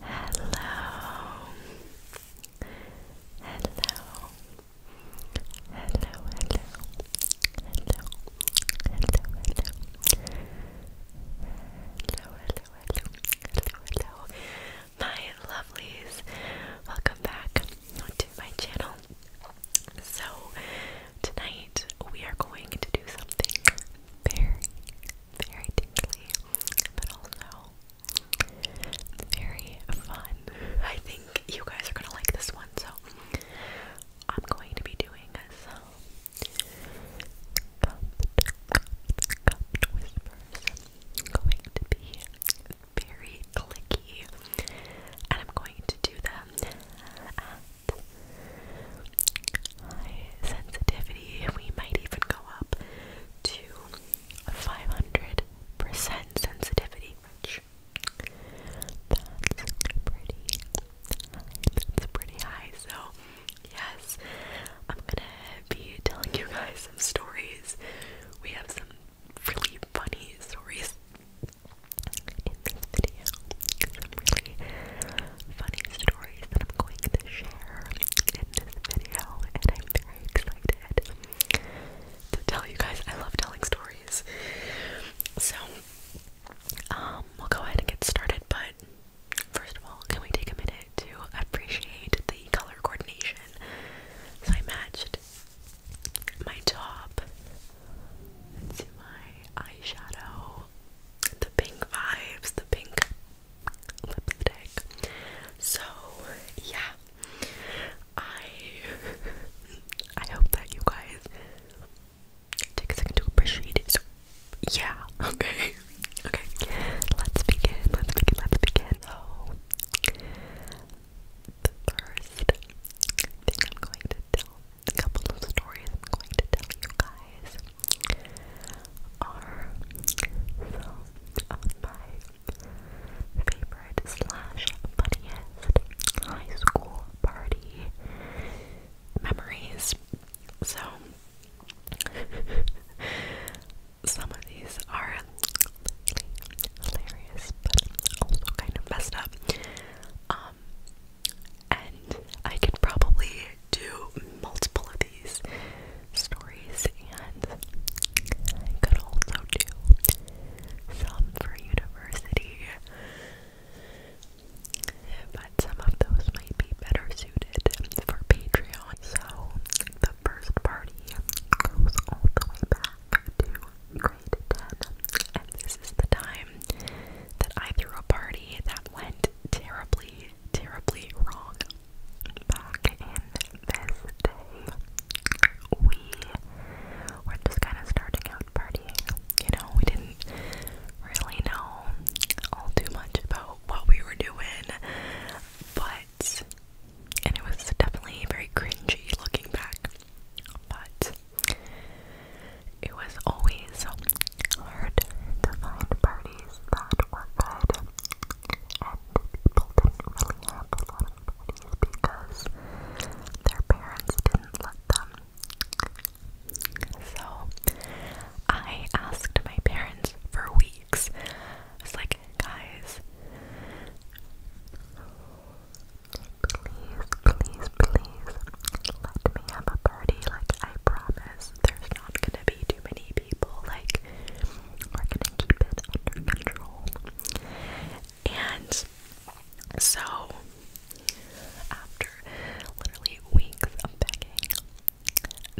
Hello. Hello. Hello, hello. Hello. Hello, hello. Hello, hello, My lovelies. Welcome back to my channel. So, tonight we are going to do something very, very tingly, but also very fun. I think you guys are gonna like this one, so I'm going to be doing some cupped, whispers. going to be very clicky, and I'm going to do them high sensitivity. We might even go up to 500% sensitivity, which that's pretty high. That's pretty high. So, yes, I'm gonna be telling you guys some stories. We have some really funny stories in this video some really funny stories that I'm going to share in this video, and I'm very excited to tell you guys. I love telling stories. So, um, we'll go ahead and get started, but first of all, can we take a minute to appreciate the color coordination? So I matched my top let my eyeshadow. The pink vibes, the pink lipstick. So yeah. I I hope that you guys take a second to appreciate it. So yeah, okay. Okay. Let's begin. Let's begin. Let's begin. the first thing I'm going to tell a couple of stories I'm going to tell you guys are some of my favorite slash funniest high school party memories. So some of these are hilarious, but also kind of messed up. Um, and I can probably do multiple of these stories, and could also do some for university. But some of those might be better suited for Patreon. So the first party goes all the way back to and this is the time that I threw a party that went terribly, terribly wrong. Back in this day, we were just kind of starting out partying. You know, we didn't really know all too much about what we were doing, but. And it was definitely very cringy looking back but it was always hard to find parties that were good, and people didn't really have a lot of parties because their parents didn't let them. So I asked my parents for weeks. I like, guys, please, please please let me have a party. Like, I promise there's not gonna be too many people. Like, we're gonna keep it under control. And so, after literally weeks of begging,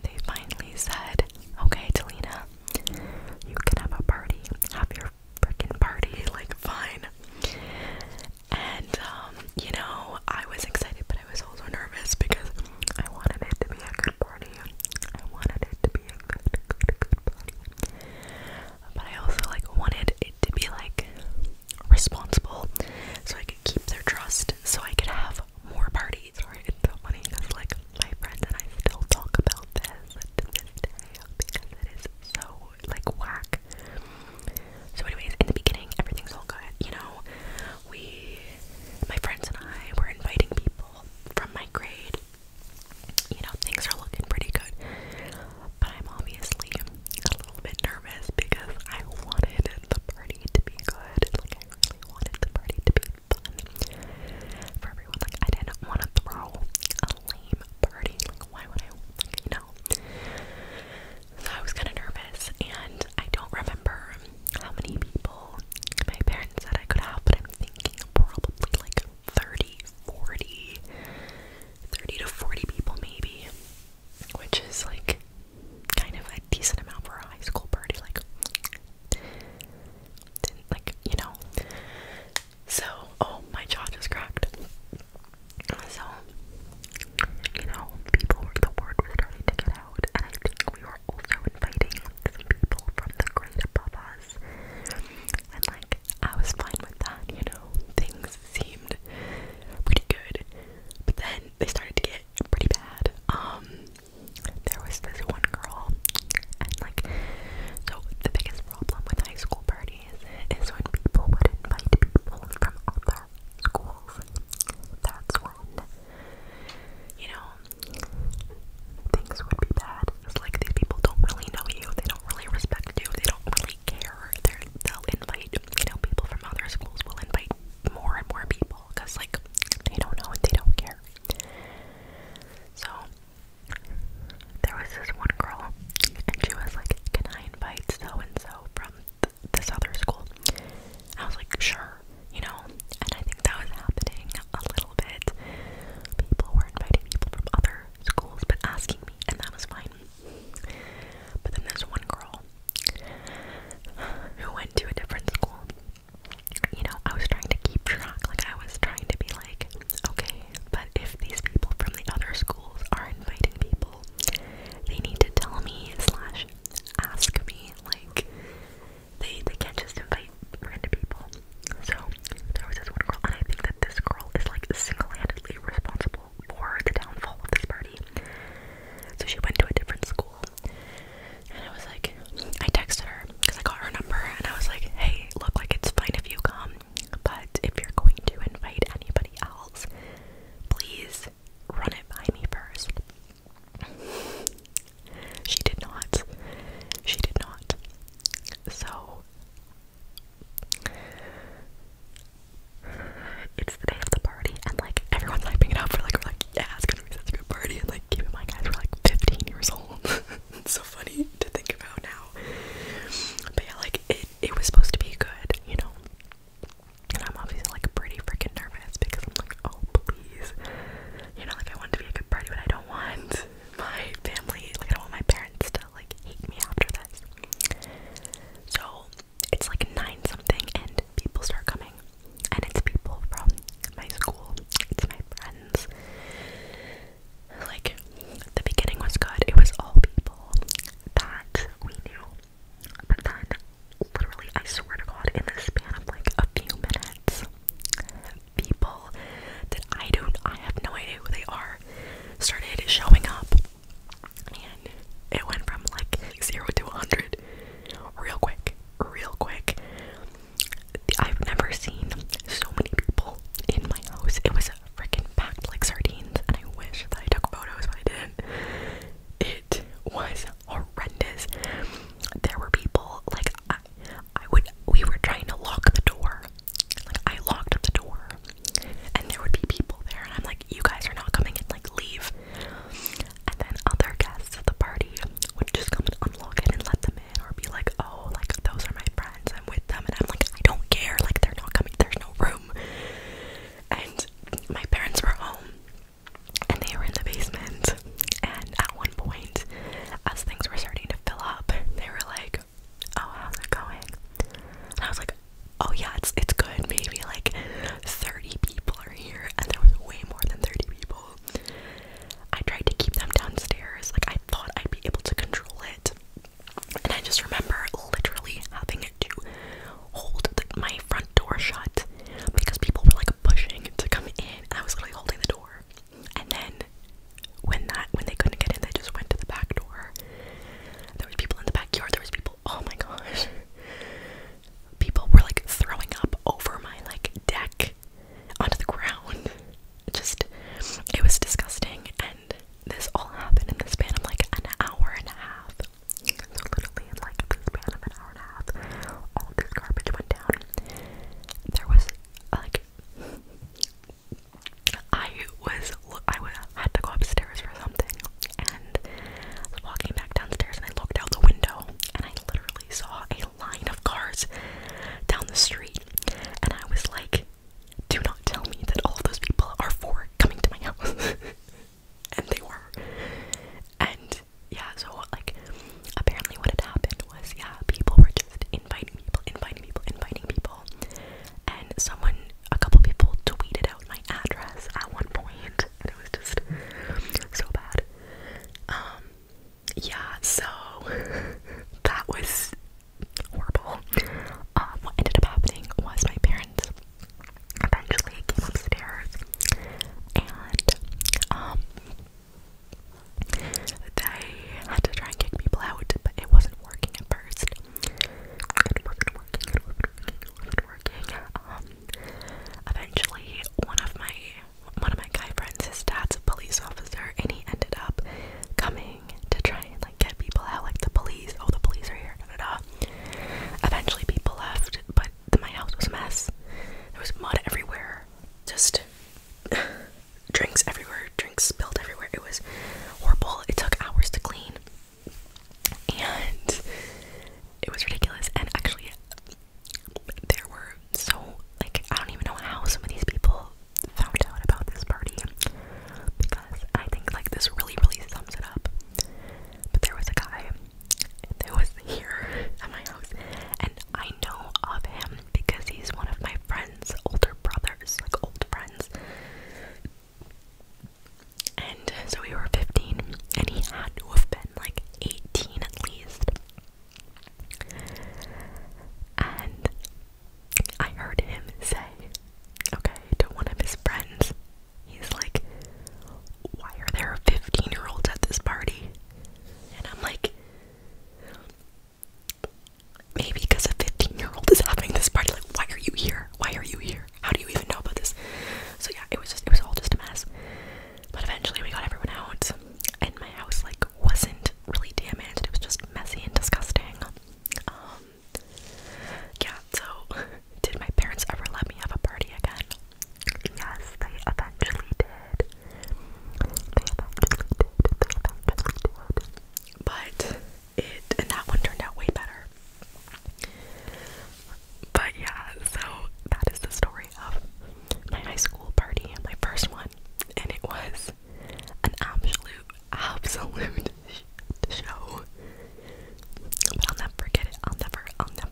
they finally said, Okay, Delina, you can have a party. Have your your freaking party, like, fine. And, um, you know, I was excited, but I was also nervous because I wanted it to be a good party. I wanted it to be a good, good, good party. But I also, like, wanted it to be, like, responsible so I could keep their trust so I could have more parties. Sorry, it's so funny because, like, my friends and I still talk about this to this day because it is so like whack. So, anyways, in the beginning, everything's all good. You know, we, my friends and I, were inviting people from my grade. You know, things are looking pretty good. But I'm obviously a little bit nervous because I wanted the party to be good. Like, I really wanted the party to be fun for everyone. Like, I didn't want to throw a lame party. Like, why would I, like, you know. So I was kind of nervous, and I don't remember how many people my parents said I could have, but I'm thinking probably like 30, 40, 30 to 40 people maybe, which is like kind of a decent amount for a high school party, like, didn't like, you know, so, oh, my jaw just cracked. So, you know, people, the word was starting to get out, and I think we were also inviting some people from the grade above us. And, like, I was fine with that, you know, things seemed pretty good. But then they started to get pretty bad. Um, there was this one girl, and, like, so the biggest problem with high school parties days is when people would invite people from other schools. That's when, you know, things would be bad. It's like these people don't really know you, they don't really respect you, they don't really care. They're, they'll invite, you know, people from other schools will invite more and more people because, like, they don't know and they don't care. So, there was this one girl, and she was like, Can I invite so and so from th this other school? I was like, Sure, you know, and I think that was happening a little bit. People were inviting people from other schools but asking me, and that was fine. But then there's one girl who went to a different school. You know, I was trying to keep track, like, I was trying to be like, Okay, but if these people from the other schools are inviting people, they need to tell me slash ask me. Like, they they can't just invite random people. So there was this one girl, and I think that this girl is like single-handedly responsible for the downfall of this party. So she went to a different school, and I was like, I texted her because I got her number, and I was like, hey, look, like it's fine if you come, but if you're going to invite anybody else, please run it by me first. she did not. She did not. So it's the day of the party, and like everyone's hyping it up. we like, we're like, yeah, it's gonna be such a good party. And like, keep in mind, guys, we're like 15 years old. it's so funny to think about now. But yeah, like it it was supposed to be good, you know. And I'm obviously like pretty freaking nervous because I'm like, oh please, you know, like I want to be a good party, but I don't want my family, like I don't want my parents to like hate me after this. So it's like nine something, and people start coming, and it's people from my school, it's my friends, like, the beginning was good. It was all people that we knew. But then, literally, I swear to God, in the span of like a few minutes, people that I don't, I have no idea who they are, started showing up. And it went from like 0 to 100 real quick, real quick. I've never seen so many people in my house. It was freaking packed like sardines, and I wish that I took photos, but I didn't. It was horrendous. There were people like I, would. We were trying to lock the door. Like I locked up the door, and there would be people there, and I'm like, "You guys are not coming in. Like leave." And then other guests at the party would just come and unlock it and let them in, or be like, "Oh, like those are my friends." I'm with them, and I'm like, I don't care, like, they're not coming, there's no room. And my parents were home, and they were in the basement. And at one point, as things were starting to fill up, they were like, Oh, how's it going? And I was like, Oh, yeah, it's, it's good. Maybe like 30 people are here, and there was way more than 30 people. I tried to keep them downstairs, like, I thought I'd be able to control it. And I just remember literally having to hold my front door shut because people were like pushing to come in, I was literally holding the door. And then when that when they couldn't get in, they just went to the back door. There was people in the backyard. There was people. Oh my gosh. People were like throwing up over my like deck onto the ground. Just it was disgusting and this all happened in the span of like an hour and a half. So literally in like the span of an hour and a half, all this garbage went down. There was like I was I was, had to go upstairs for something, and I was walking back downstairs, and I looked out the window, and I literally saw a line of cars down the street, and I was like, do not tell me that all of those people are for coming to my house. and they were. And yeah, so like apparently what had happened was yeah, people were just inviting people, inviting people, inviting people. And someone a couple people tweeted out my address at one point and it was just so bad. Um yeah, so that was horrible. Um, what ended up happening was my parents eventually came upstairs and um they had to try and kick people out, but it wasn't working at first. It working, working, working. Um, eventually one of my one of my guy friends, his dad's a police officer, and he ended up coming to try and like get people out, like the police. Oh, the police are here. Da da da. Eventually, people left, but my house was a mess. There was mud everywhere, just drinks everywhere, drinks spilled everywhere. It was horrible. It took hours to clean, and it was ridiculous. And actually, there were so like I don't even know how some of these people found out about this party because I think like this really really sums it up. But there was a guy that was here at my house and I know of him because he's one of my friends, older brothers, like old friends. And so we were 15 and he had to have been like 18 at least. And I heard him say, okay, to one of his friends, he's like, why are there 15 year olds at this party? And I'm like, maybe because a 15 year old is having this party. Like, why are you here? Why are you here? How do you even know about this? So, yeah, it was just, it was all just a mess. But eventually we got everyone out, and my house, like, wasn't really damaged. It was just messy and disgusting. Um, yeah, so did my parents ever let me have a party again? Yes, they eventually did. They eventually did. They eventually did. But it, and that one turned out way better. But yeah, so that is the story of my high school party, my first one. And it was an absolute, absolute show. But I'll never forget it. I'll never, I'll never,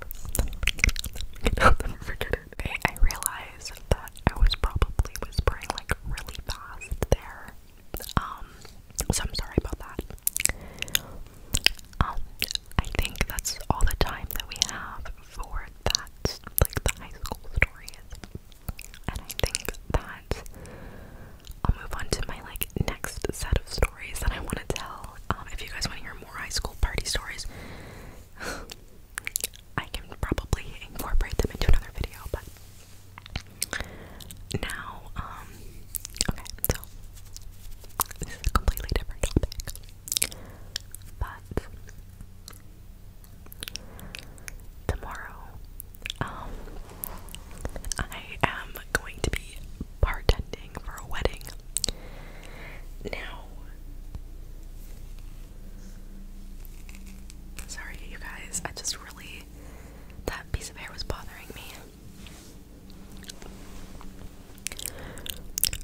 i realized that I was probably whispering like really fast there. Um, so I'm sorry about that. Um, I think that's all the time that we have for that, like the high school stories. And I think that I'll move on to my like next set of stories that I want to tell. Um, if you guys want to hear more high school party stories, I can probably incorporate them into another video. But now, um, okay, so this is a completely different topic, but tomorrow. Um, I am going to be bartending for a wedding. Now, sorry, you guys, I just really. That piece of hair was bothering me.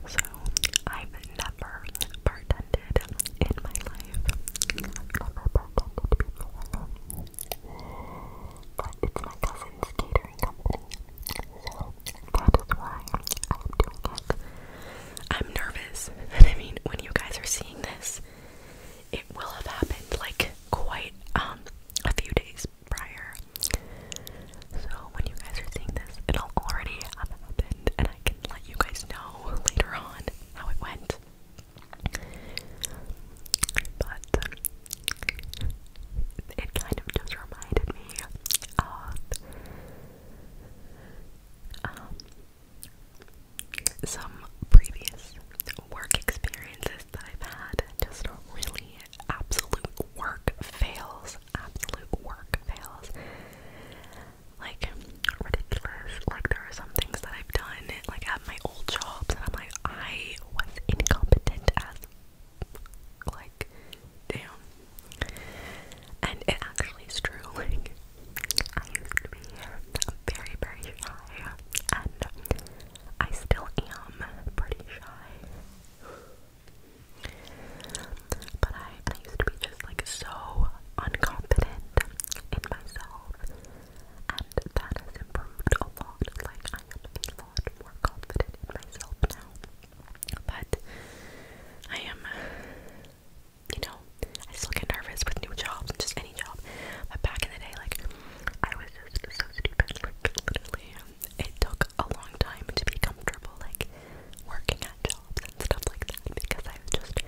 So, I've never bartended in my life. I'm I'm nervous. And I mean when you guys are seeing this, it will have happened like quite um a few days prior. So when you guys are seeing this, it'll already have happened and I can let you guys know later on how it went. But it kind of just reminded me of um, some previous work experiences that I've had. Just really absolute work fails. Absolute work fails like ridiculous. Like there are some things that I've done like at my old jobs and I'm like I was incompetent as like damn. And it actually is true. Like I used to be very, very shy and I still am pretty shy. But I, I used to be just like so unconfident in myself and that has improved a lot. Like, I am a lot more confident in myself now. But I am, you know, I still get nervous with new jobs and just any job. But back in the day, like, I was just so stupid. Like, literally, it took a long time to be comfortable, like, working at jobs and stuff like that because I was just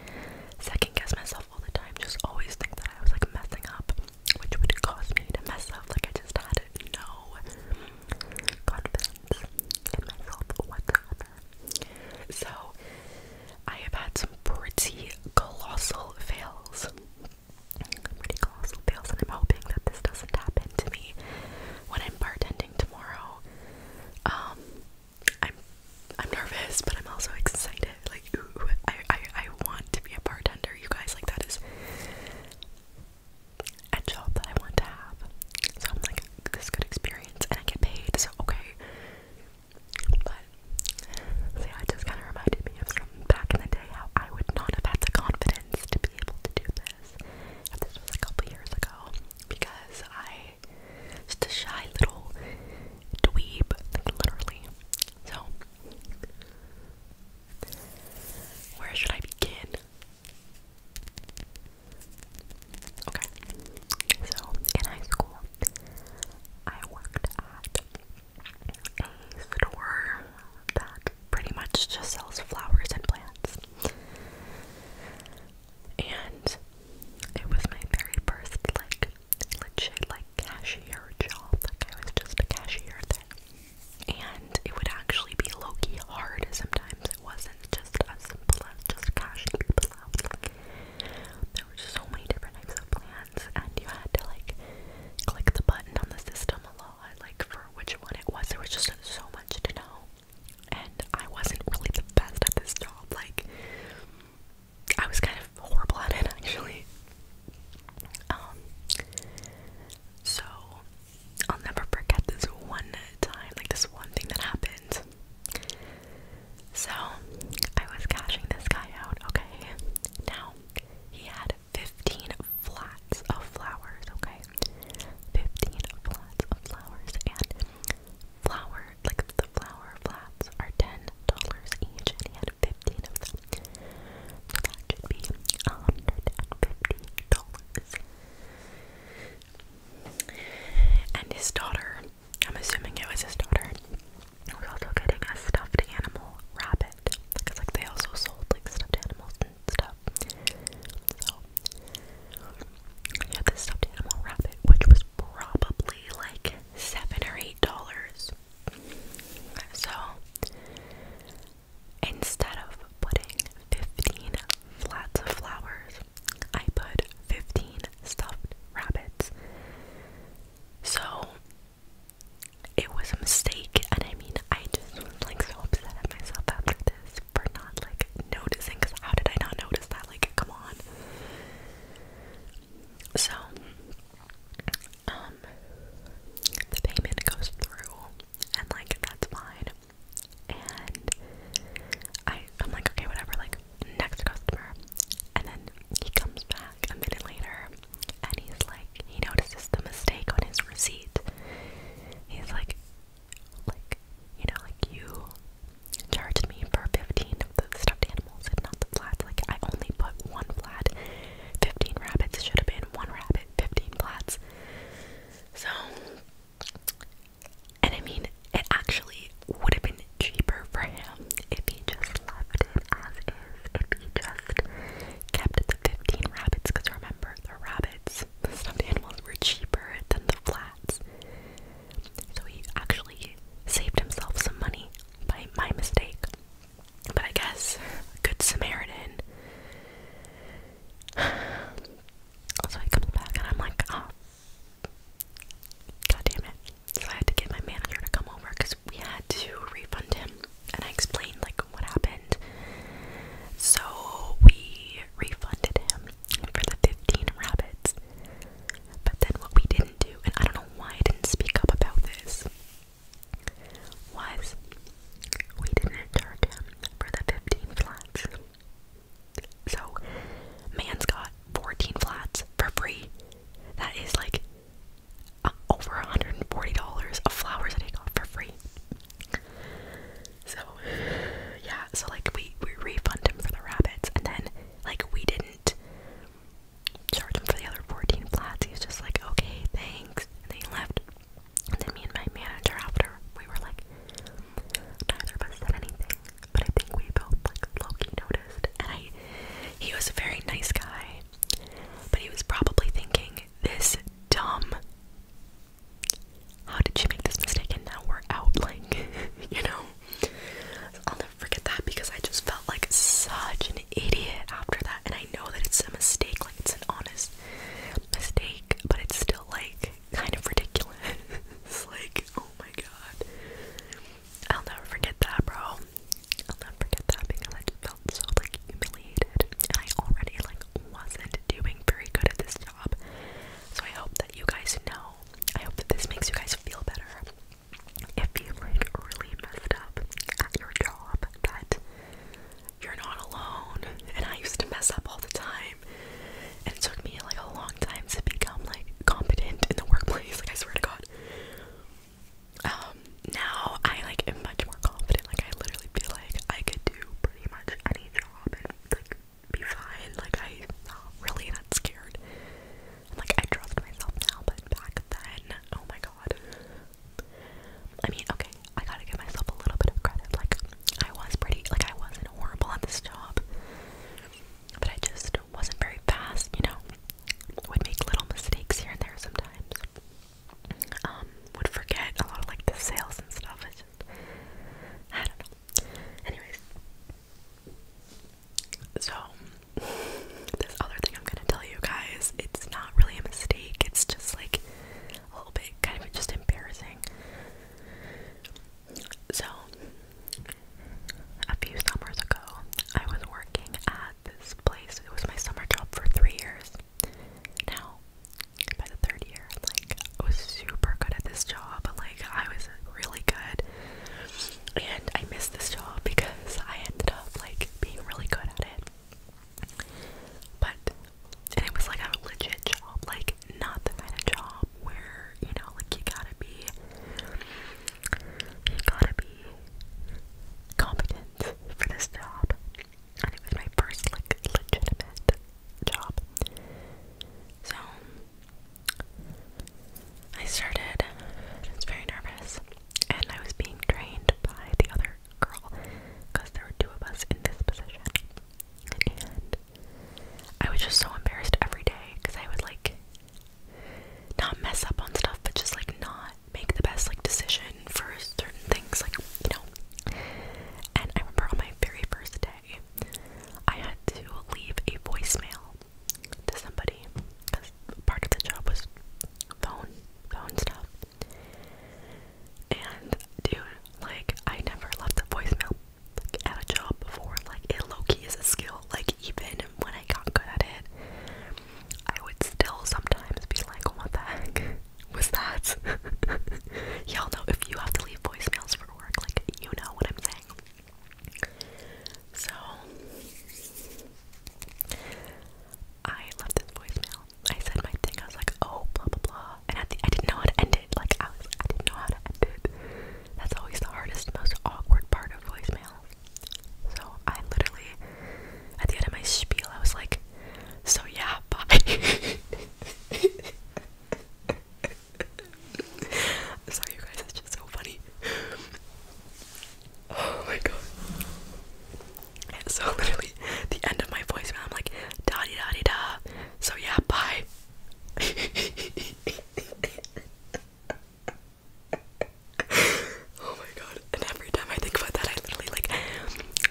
second guess myself all the time, just always think that I was like messing up, which would cause me to mess up. Like I just had no confidence in myself whatsoever. So I have had some pretty colossal fails. Pretty colossal fails, and I'm hoping that this doesn't happen to me when I'm bartending tomorrow. Um, I'm I'm nervous, but I'm also excited. Like, ooh, I, I I want to be a bartender, you guys. Like, that is a job that I want to have. So I'm like, this good experience, and I get paid. So okay. But see, I just kind of reminded me of some back in the day how I would not have had the confidence to be able to do this. And this was a couple years ago because I just a shy little dweeb, literally. So, where should I begin? Okay, so in high school, I worked at a store that pretty much just sells flowers and plants and it was my very first like legit like cashier job. Like I was just a cashier there. And it would actually be low-key hard sometimes. It wasn't just as simple as just cashing people out. Like there were so many different types of plans and you had to like click the button on the system a lot, like for which one it was. There was just so much to know. And I wasn't really the best at this job, like I was kind of horrible at it actually. Um, so I'll never forget this one time, like this one thing that happened. So I was cashing this guy out, okay? Now he had 15 flats of flowers, okay? 15 flats of flowers, and flower like the flower flats are ten dollars each and he had fifteen of them. So that should be hundred and fifty dollars. And his daughter, I'm assuming it was his daughter, was also getting a stuffed animal rabbit. Because like they also sold like stuffed animals and stuff. So yeah, this stuffed animal rabbit, which was probably like seven or eight dollars. So instead of putting 15 flats of flowers, I put 15 stuffed rabbits. So it was a mistake, and I mean, I just was like so upset at myself after this for not like noticing because how did I not notice that? Like, come on. So, um, the payment goes through, and like that's fine. And I, I'm like, okay, whatever. Like next customer, and then he comes back a minute later, and he's like, he notices the mistake on his receipt. He's like, like you know, like you charged me for 15 of the stuffed animals and not the flats. Like, I only put one flat. 15 rabbits should have been one rabbit, 15 flats. So, and I mean, it actually would have been cheaper for him if he just left it as is, if he just kept the 15 rabbits, because remember, the rabbits, the stuffed animals were cheaper than the flats. So he actually saved himself some money by my mistake. But I guess good Samaritan. So he comes back and I'm like, oh, god damn it. So I had to get my manager to come over because we had to refund him. And I explained like what happened. So we refunded him for the 15 rabbits. But then what we didn't do, and I don't know why I didn't speak up about this, was we didn't charge him for the 15 flats. So, man's got 14 flats for free. That is like uh, over $140 of flowers that he got for free. So, yeah, so like we, we refund him for the rabbits, and then like we did not charge him for the other 14 flats. He was just like, okay, thanks. And then he left. And then me and my manager after, we were like, neither of us said anything. But I think we both like Loki noticed. And I he was a very nice guy. But he was probably thinking, this dumb how did she make this mistake and now we're out like you know I'll never forget that because I just felt like such an idiot after that. And I know that it's a mistake, like it's an honest mistake, but it's still like kind of ridiculous. it's like, oh my god. I'll never forget that, bro. I'll never forget that because I just felt so like humiliated. And I already like wasn't doing very good at this job. So I hope that you guys know I hope that this makes you guys feel better. If you like really messed up at your job, that you're not alone. And I used to mess up all the time. And it took me like a long time to become like competent in the workplace, like I swear to God. Um, now I like am much more confident. Like I literally feel like I could do pretty much any job and like be fine. Like, I'm really that scared. like, I trust myself now, but back then, oh my god. I mean, okay, I gotta give myself a little bit of credit. Like, I was pretty, like, I wasn't horrible on this job, but I just wasn't very fast, you know? Would make little mistakes here and there sometimes. Um, would forget a lot of, like, the sales and stuff. I just, I don't know. Anyways, so, this other thing I'm gonna tell you guys, it's not really a mistake, it's just like a little bit kind of just embarrassing. So, a few summers ago, I was working at this place. It was my summer job for three years. Now, by the third year, like, I was super good at this job. Like, I was really good and I missed this job because I ended up like being really good at it. But and it was like a legit job, like not the kind of job where, you know, like you gotta be you gotta be competent for this job. And it was my first like legitimate job. So I started, I was very nervous, and I was being trained by the other girl because there were two of us in this position. I was just so embarrassed every day because I would like not mess up on stuff, but just like not make the best like decision for certain things, like you know. And I remember on my very first day, I had to leave a voicemail to somebody because part of the job was phone, phone stuff. And dude, like, I never left a voicemail like, at a job before. Like, it low key is a skill. Like, even when I got good at it, I would still sometimes be like, what the heck was that? Y'all know if you have to leave voicemails for work, like, you know what I'm saying. So I left this voicemail. I said my thing. I was like, oh, blah blah blah, and I didn't know how to end it. Like I was, I didn't know how to end it. That's always the hardest, most awkward part of voicemail. So I literally, at the end of my spiel, I was like, so yeah, bye. Sorry, you guys, it's just so funny. Oh my god. so, literally, the end of my voicemail, I'm like, da di da di da. So, yeah, bye. oh my god. And every time I think about that, I literally like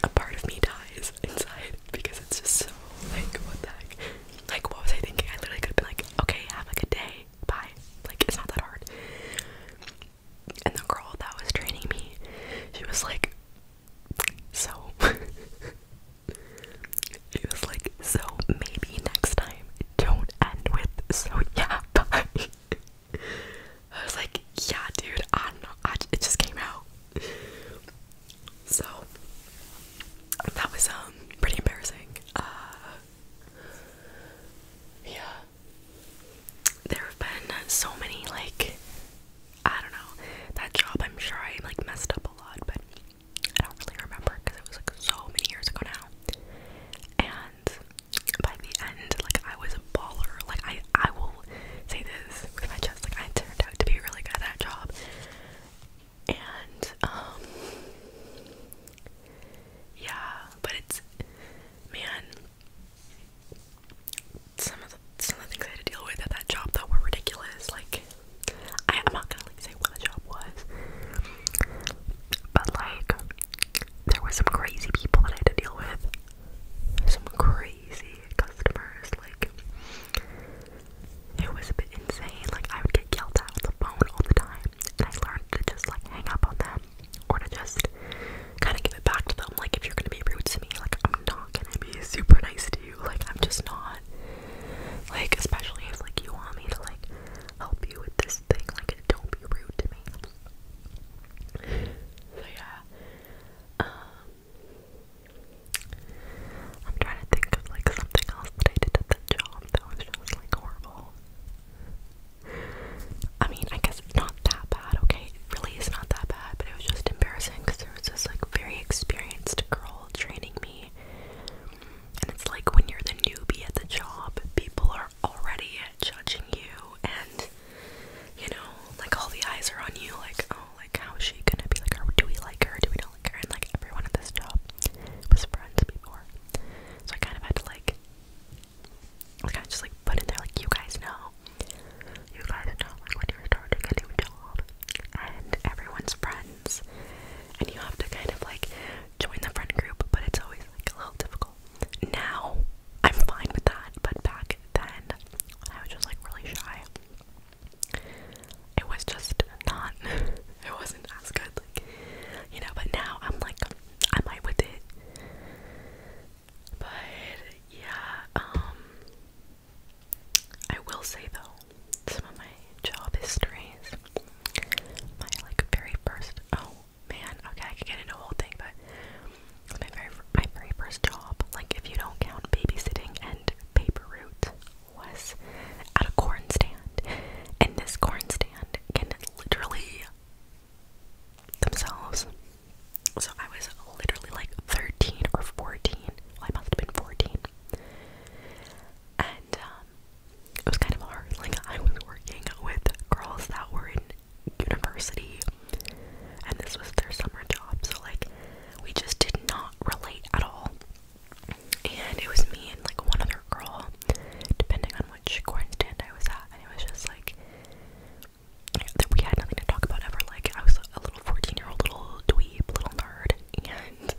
a part of me dies inside because it's just so like, what the heck. Like, what was I thinking? I literally could have been like, okay, have a good day, bye. Like, it's not that hard. And the girl that was training me, she was like, so. she was like, so maybe next time don't end with, so yeah, bye. I was like, yeah, dude, I don't know. I, it just came out. So that was um pretty embarrassing. Uh, yeah. There have been so many like I don't know. That job I'm sure I like messed up a lot, but I don't really remember because it was like so many years ago now. And by the end, like I was a baller. Like I I will say this with my chest, like I turned out to be really good at that job and um yeah, but it's man some of the some of the things I had to deal with at that job though were ridiculous. Like I I'm not gonna like say what the job was. But like there were some crazy people that I had to deal with. Some crazy customers, like it was a bit insane. Like I would get yelled at with the phone all the time, and I learned to just like hang up on them or to just kind of give it back to them. Like if you're gonna be rude to me, like I'm not gonna be super nice to you. Like I'm just not. Like especially if like you want me to like help you with this thing, like don't be rude to me. So yeah. Um I'm trying to think of like something else that I did at that job that was just like horrible. I mean, I guess it's not that bad, okay? It really is not that bad, but it was just embarrassing because there was this like very experienced girl training me. And it's like when you're the newbie at the job, people are already judging you and you know, like all the eyes are on you, like, oh, like how is she gonna be like, do we like her? Do we like everyone at this job was friends before. So I kind of had to like kind of just like put in there like you guys know. You guys know like when you're starting a new job and everyone's friends and you have to kind of like join the friend group but it's always like a little difficult. Now I'm fine with that, but back then I was just like really shy it was just not it wasn't as good like you know but now I'm like I might with it but yeah um I will say though some of my job histories my like very first oh man okay I could get into a whole thing but my very my very first job like if you don't count babysitting and paper route was at a corn stand, and this corn stand can literally themselves. So I was literally like 13 or 14. Well, I must have been 14. And um, it was kind of hard. Like, I was working with girls that were in university, and this was their summer job. So, like, we just did not relate at all and it was me and like one other girl, depending on which corn stand I was at, and it was just like we had nothing to talk about ever. Like I was a little fourteen-year-old little dweeb, little nerd, and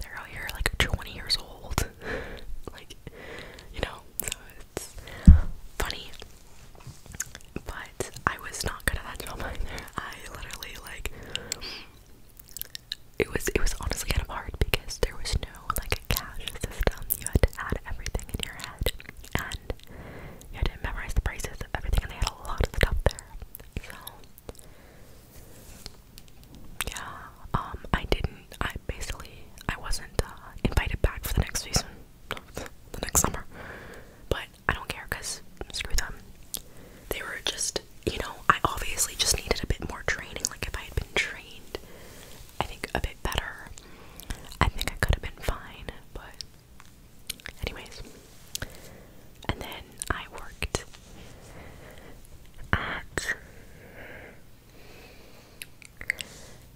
they're out here like twenty years old, like you know. So it's funny, but I was not good at that job there. I literally like it was it was honestly kind of hard because there was no like a cash system. You had to add everything in your head and you had to memorize the prices of everything and they had a lot of stuff there. So yeah, um I didn't I basically I wasn't uh, invited back for the next season the next summer. But I don't care because screw them. They were just, you know, I obviously just needed a bit more training. Like, if I had been trained, I think a bit better, I think I could have been fine, but. Anyways, and then I worked at,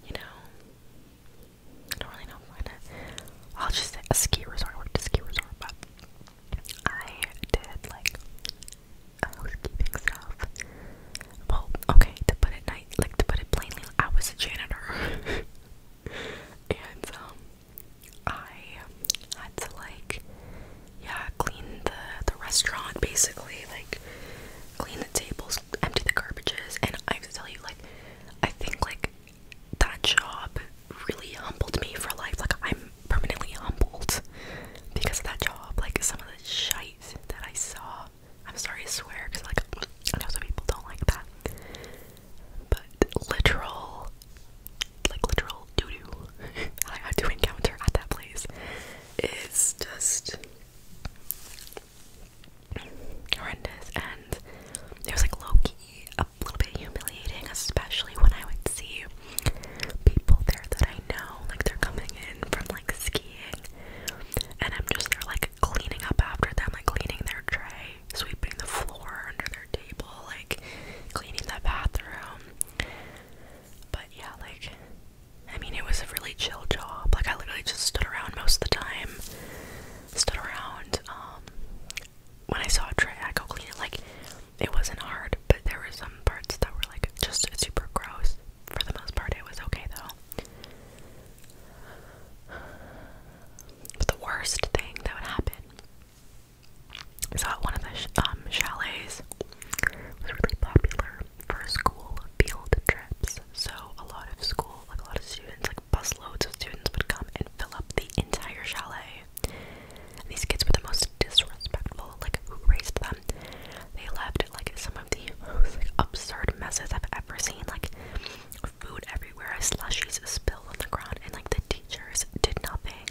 you know, I don't really know I'll just say a ski resort. worked at a ski resort, but I did like housekeeping stuff. Well, okay, to put it night, like to put it plainly, I was a janitor, and um, I had to like, yeah, clean the the restaurant basically, like clean the tables, empty the garbages, and I have to tell you, like, I think like that job really humbled me for life. Like, I'm permanently humbled because of that job. Like, some of the shite that I saw. I'm sorry to swear because, like, I know some people don't like that. But literal, like, literal doo doo I had to encounter at that place is just horrendous. And it was, like, low key a little bit humiliating, especially when I would see people there that I know, like they're coming in from like skiing, and I'm just there like cleaning up after them, like cleaning their tray, sweeping the floor under their table, like cleaning the bathroom. But yeah, like I mean, it was a really chill job. Like I literally just stood around most of the time. Stood around. Um, when I saw a tray, I go clean it. Like it wasn't hard, but there were some parts that were like just super gross. For the most part, it was okay though. But the worst thing that would happen is that one of the um, chalets was really popular for school field trips. So a lot of school, like a lot of students, like busloads of students would come and fill up the entire chalet these kids were the most disrespectful, like who raised them. They left like some of the most like, absurd messes I've ever seen, like food everywhere, slushies spilled on the ground, and like the teachers did nothing.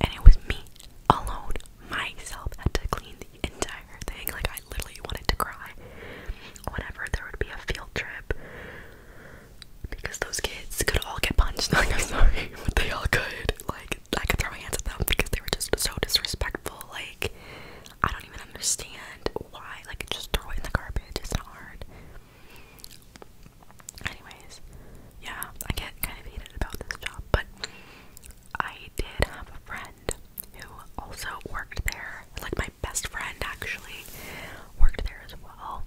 And it was me alone, myself, had to clean the entire thing. Like I literally wanted to cry. Whenever there would be a field trip because those kids could all get punched. Like I'm sorry, but they all could. Like I could throw hands at them because they were just so disrespectful. Like I don't even understand why. Like just throw it in the garbage. It's not hard. Anyways, yeah, I get kind of heated about this job, but I did have a friend who also worked there. Like my best friend actually worked there as well.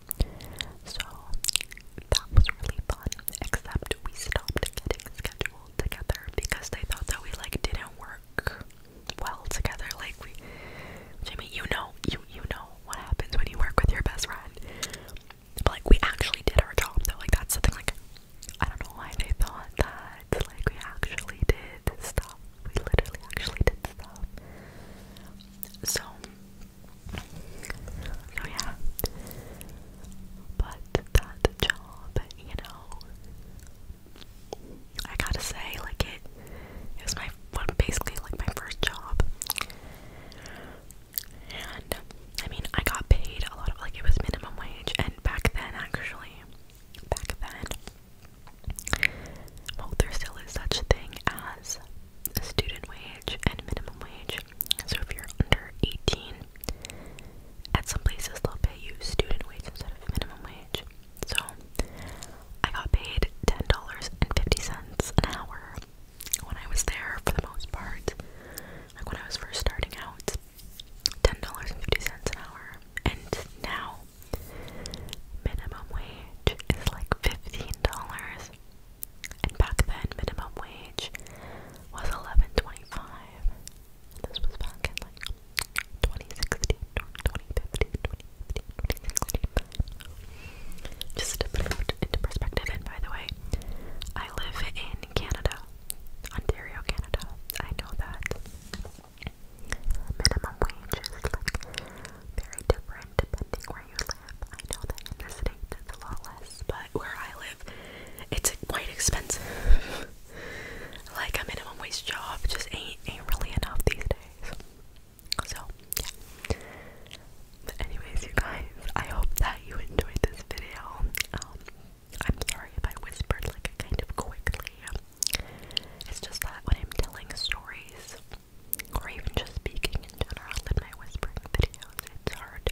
So that was really fun, except we stopped getting scheduled together because they thought that we like didn't work well together. Like we Jamie, you know, you you know what happens when you work with your best friend. But like we actually did our job though, like that's something like I don't know why they thought that like we actually did stuff. We literally actually did stuff. So so yeah. But that job, you know, I gotta say, like it was my basically like my first job, and I mean, I got paid a lot of like it was minimum wage, and back then actually, back then, well, there still is such a thing as student wage and minimum wage. So if you're under 18, at some places they'll pay you student wage instead of minimum wage. So I got paid $10.50 an hour when I was there for the most part. Like when I was first starting out, $10.50 an hour. And now minimum wage is like $15. And back then, minimum wage was eleven twenty-five. this was back in like 2016, Just to put it into perspective, and by the way, I live in Canada, Ontario, Canada. I know that minimum wage very different depending where you I know that in the States it's a lot less, but where I live, it's quite expensive. like a minimum wage job just ain't, ain't really enough these days. So, yeah. But anyways, you guys, I hope that you enjoyed this video. Um, I'm sorry if I whispered like kind of quickly. It's just that when I'm telling stories, or even just speaking in general in my whispering videos, it's hard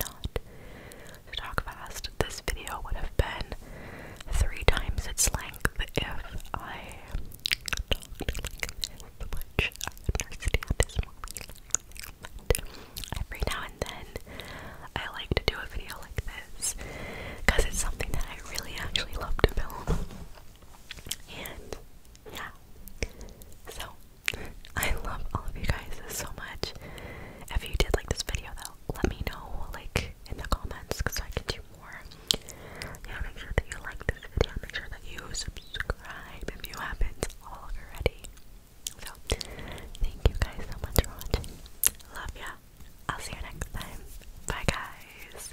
not to talk fast. This video would have been three times its length if I talked which I understand is more relaxing, but every now and then I like to do a video like this because it's something that I really actually love to film. And yeah, so, I love all of you guys so much. If you did like this video, though, let me know, like, in the comments, because I can do more. Yeah, make sure that you like this video. Make sure that you subscribe if you haven't already. So, thank you guys so much for watching. Love ya. I'll see you next time. Bye, guys.